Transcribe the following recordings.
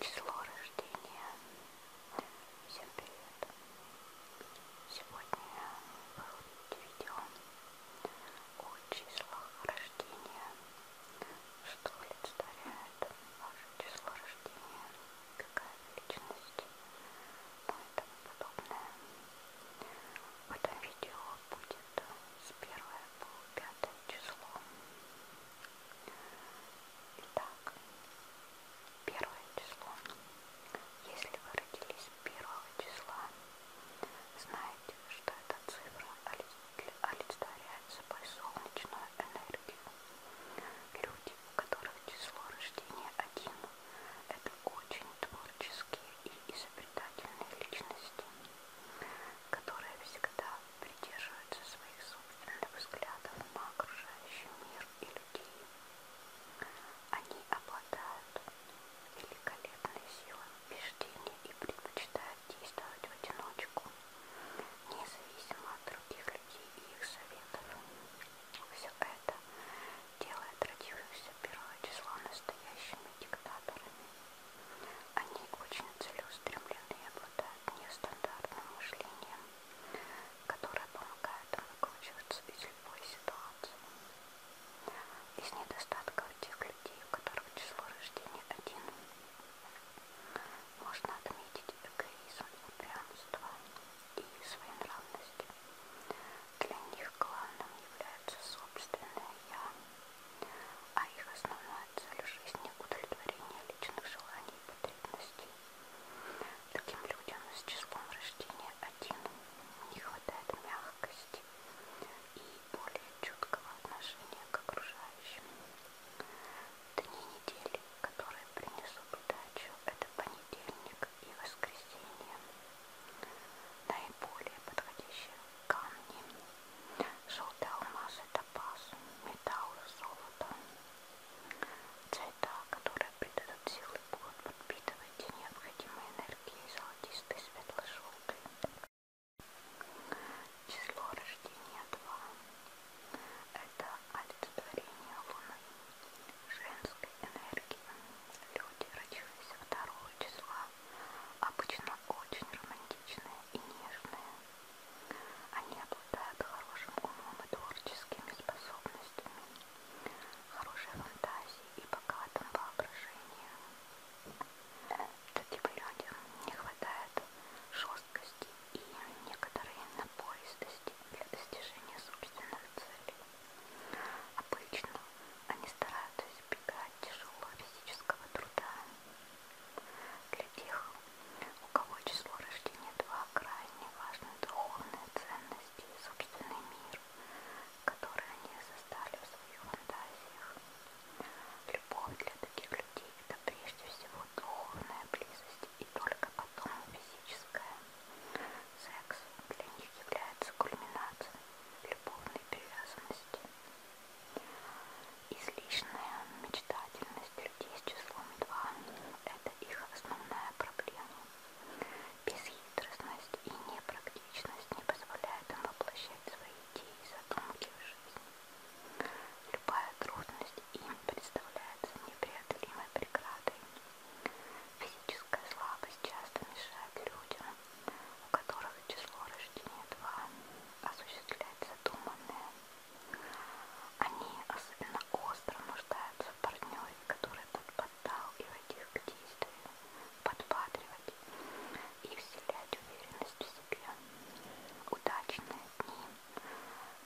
Число рождения. Всем привет. Сегодня выходит видео о числах рождения. Что олицетворяет ваше число рождения? какая величность, ну и тому подобное. В этом видео будет с 1 по 5 число. Итак, первое число. Если вы родились 1 числа, знаете, что эта цифра олицетворяет собой солнечную энергию. Люди, у которых число рождения один, это очень творческие и изобретательные личности, которые всегда придерживаются своих собственных взглядов на окружающий мир и людей. Они обладают великолепной силой убеждения и предпочитают действовать в одиночку независимо от других людей и их советов. Все это делает родившихся 1 числа настоящими диктаторами. Они очень целеустремлены и обладают нестандартным мышлением, которое помогает им выкручиваться из любой ситуации. Из недостатков тех людей, у которых число рождения один, можно отметить эгоизм, упрямство и своенравность. Для них главным является собственное «я», а их основная цель жизни – удовлетворение личных желаний и потребностей. Таким людям с числом рождения один не хватает мягкости и более чуткого отношения к окружающим. Дни недели, которые принесут удачу, это понедельник и воскресенье. Наиболее подходящие камни. Желтый алмаз – это паз, металл и золото. Цвета, которые придадут силы, будут подпитывать необходимые энергии золотистый, светло-желтый. Число рождения 2. Это олицетворение Луны, женской энергии. Люди, родившиеся 2 числа, обычно очень романтичные и нежные. Они обладают хорошим умом и творческими способностями, хорошей фантазией и богатым воображением что типа людям не хватает жесткости и некоторой напористости для достижения собственных целей. Обычно они стараются избегать тяжелого физического труда. Для тех, у кого число рождения 2 крайне важны духовные ценности и собственный мир, который они создали в своих фантазиях. Любовь для таких людей – это прежде всего духовная близость и только потом физическая. Секс для них является кульминацией любовной привязанности. Излишняя мечтательность людей с числом 2 – это их основная проблема. Бесхитростность и непрактичность не позволяет им воплощать воплощать свои идеи и задумки в жизнь. Любая трудность им представляется непреодолимой преградой. Физическая слабость часто мешает людям, у которых число рождения 2, осуществлять задуманное. Они особенно остро нуждаются в партнере, который будут подталкивать их к действию, подбадривать, и вселять уверенность в себе. Удачные дни,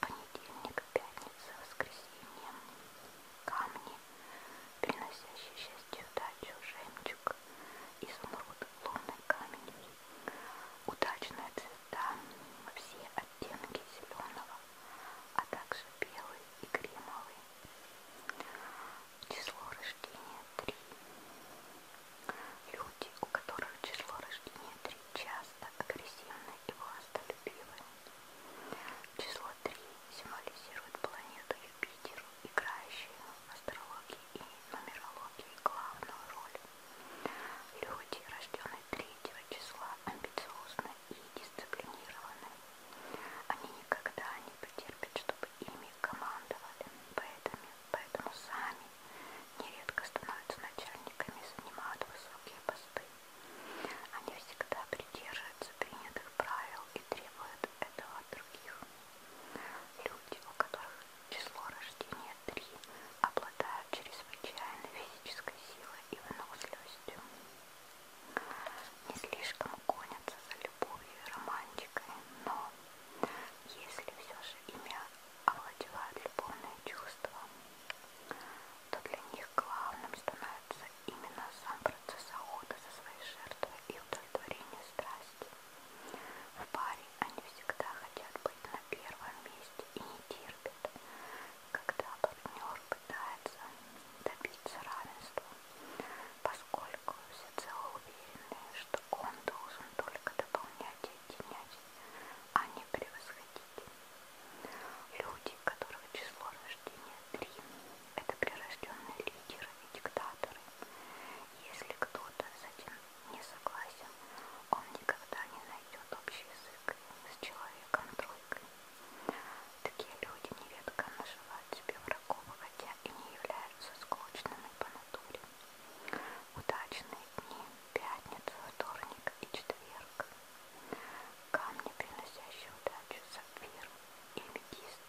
понедельник, пятница, воскресенье, камни, приносящие счастье, удачу, жемчуг, изумруд, лунный камень, удачная цвета, все оттенки зеленого, а также белый и кремовый число рождения 3. Люди, у которых число рождения 3, часто агрессивны и властолюбивы. Число 3 символизирует планету Юпитер, играющую в астрологии и нумерологии главную роль. Люди, рожденные 3 числа, амбициозны и дисциплинированы. Они никогда не потерпят, чтобы чтобы ими командовали, поэтому, поэтому сами нередко становятся начальниками, занимают высокие посты. Они всегда придерживаются принятых правил и требуют этого от других. Люди, у которых число рождения 3, обладают чрезвычайной физической силой и выносливостью не слишком гонятся за любовью и романтикой, но если все же ими овладевают любовные чувства, то для них главным становится именно сам процесс охоты за своей жертвой и удовлетворение страсти. В паре они всегда хотят быть на первом месте и не терпят, когда партнер пытается добиться равенства, поскольку всецело уверены, что он должен только дополнять и объединять, а не превосходить. Люди, которых число рождения три, это прирожденные лидеры и диктаторы. Если кто-то с этим не согласен, он никогда не найдет общий язык с человеком-тройкой. Такие люди нередко наживают себе врагов, хотя и не являются скучными по натуре. Удачные дни, пятница, вторник и четверг. Камни, приносящие удачу, сапфир и метист.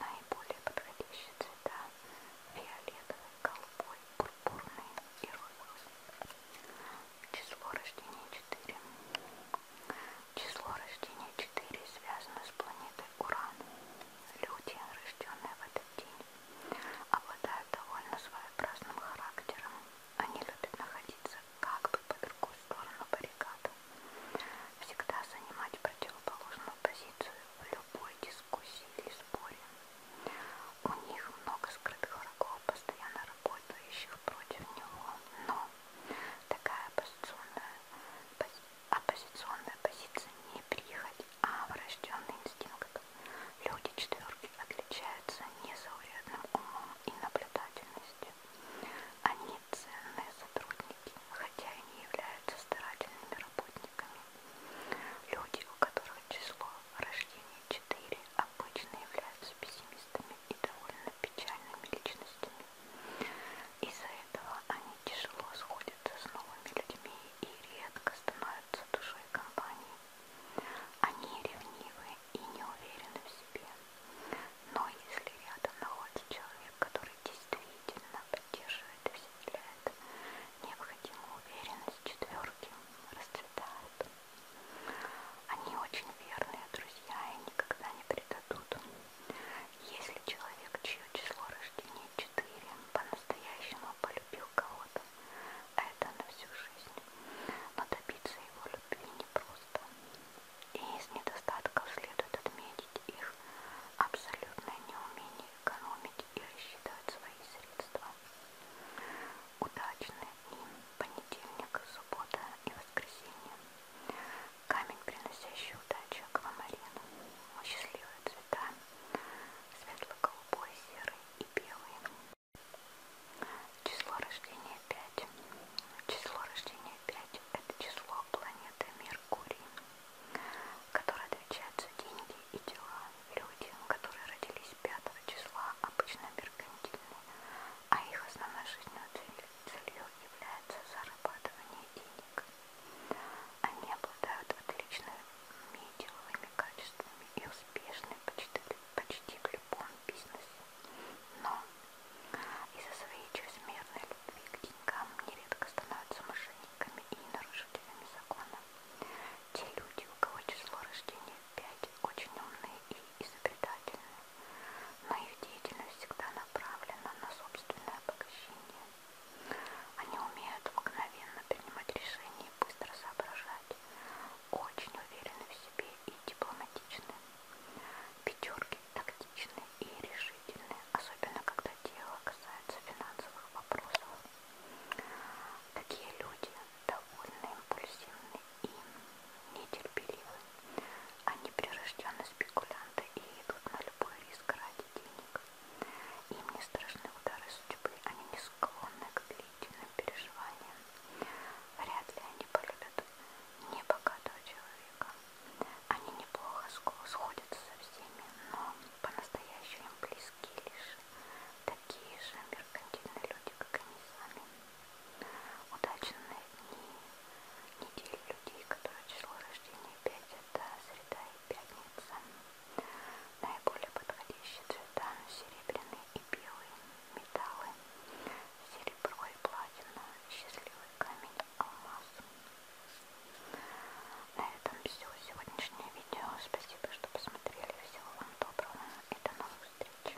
Наиболее подходящие цвета фиолетовый, голубой, пурпурный и розовый. Число рождения 4. Число рождения 4 связано с планетой Уран. Люди, рожденные в этот день, обладают довольно своеобразным характером. Они любят находиться как бы по другую сторону баррикады. Всегда занимать противоположную позицию в любой дискуссии или споре. У них много скрытых врагов, постоянно работающих против него, но такая оппозиционная, пози, оппозиционная позиция не прихоть, а врожденный инстинкт. Люди четверки отличаются незаурядным умом и наблюдательностью. Они ценные сотрудники, хотя и не являются старательными работниками. Люди, у которых число рождения 4, обычно являются пессимистами и довольно печальными личностями. Из-за этого они тяжело сходятся с новыми людьми и редко становятся душой компании. Они ревнивы и не уверены в себе. Но если рядом находится человек, который действительно поддерживает и вселяет необходимую уверенность четверки, расцветает. Они очень верные друзья и никогда не предадут. Если человек, чье число рождения 4, по-настоящему полюбил кого-то, это на всю жизнь. Но добиться его любви непросто. И из недостатков следует отметить их абсолютное неумение экономить и рассчитывать свои средства. Удачны им понедельник, суббота и воскресенье. Камень, приносящий удачу, аквамарин. Счастливые цвета, светло-голубой, серый и белый. Число рождения 5. Число рождения 5 – это число планеты Меркурий, которое отвечает за деньги и дела. Люди, которые родились 5 числа, обычно меркантильны сильны, а их основной жизненной целью является зарабатывание денег. Они обладают отличными деловыми качествами и успешны почти, почти в любом бизнесе. Но из-за своей чрезмерной любви к деньгам нередко становятся мошенниками и нарушителями закона. Те люди, у кого число рождения пять очень умные и изобретательные, но их деятельность всегда направлена на собственное обогащение. Они умеют мгновенно принимать решения и быстро соображать, очень уверены в себе и дипломатичны. Пятерки тактичны и решительны, особенно когда дело касается финансовых вопросов. Такие люди довольно импульсивны и нетерпеливы. Они прирожденные спекулянты и идут на любой риск ради денег. Им не страшны удары судьбы, они не склонны к длительным переживаниям. Вряд ли они полюбят небогатого человека. Они неплохо сходятся со всеми, но по-настоящему им близко близкие лишь такие же меркантильные люди, как они сами. Удачные дни недели людей, которые число рождения 5 это среда и пятница. Наиболее подходящие цвета серебряные и белые металлы, серебро и платина, счастливый камень, алмаз. На этом все. Сегодняшнее видео видео. Спасибо, что посмотрели. Всего вам доброго и до новых встреч.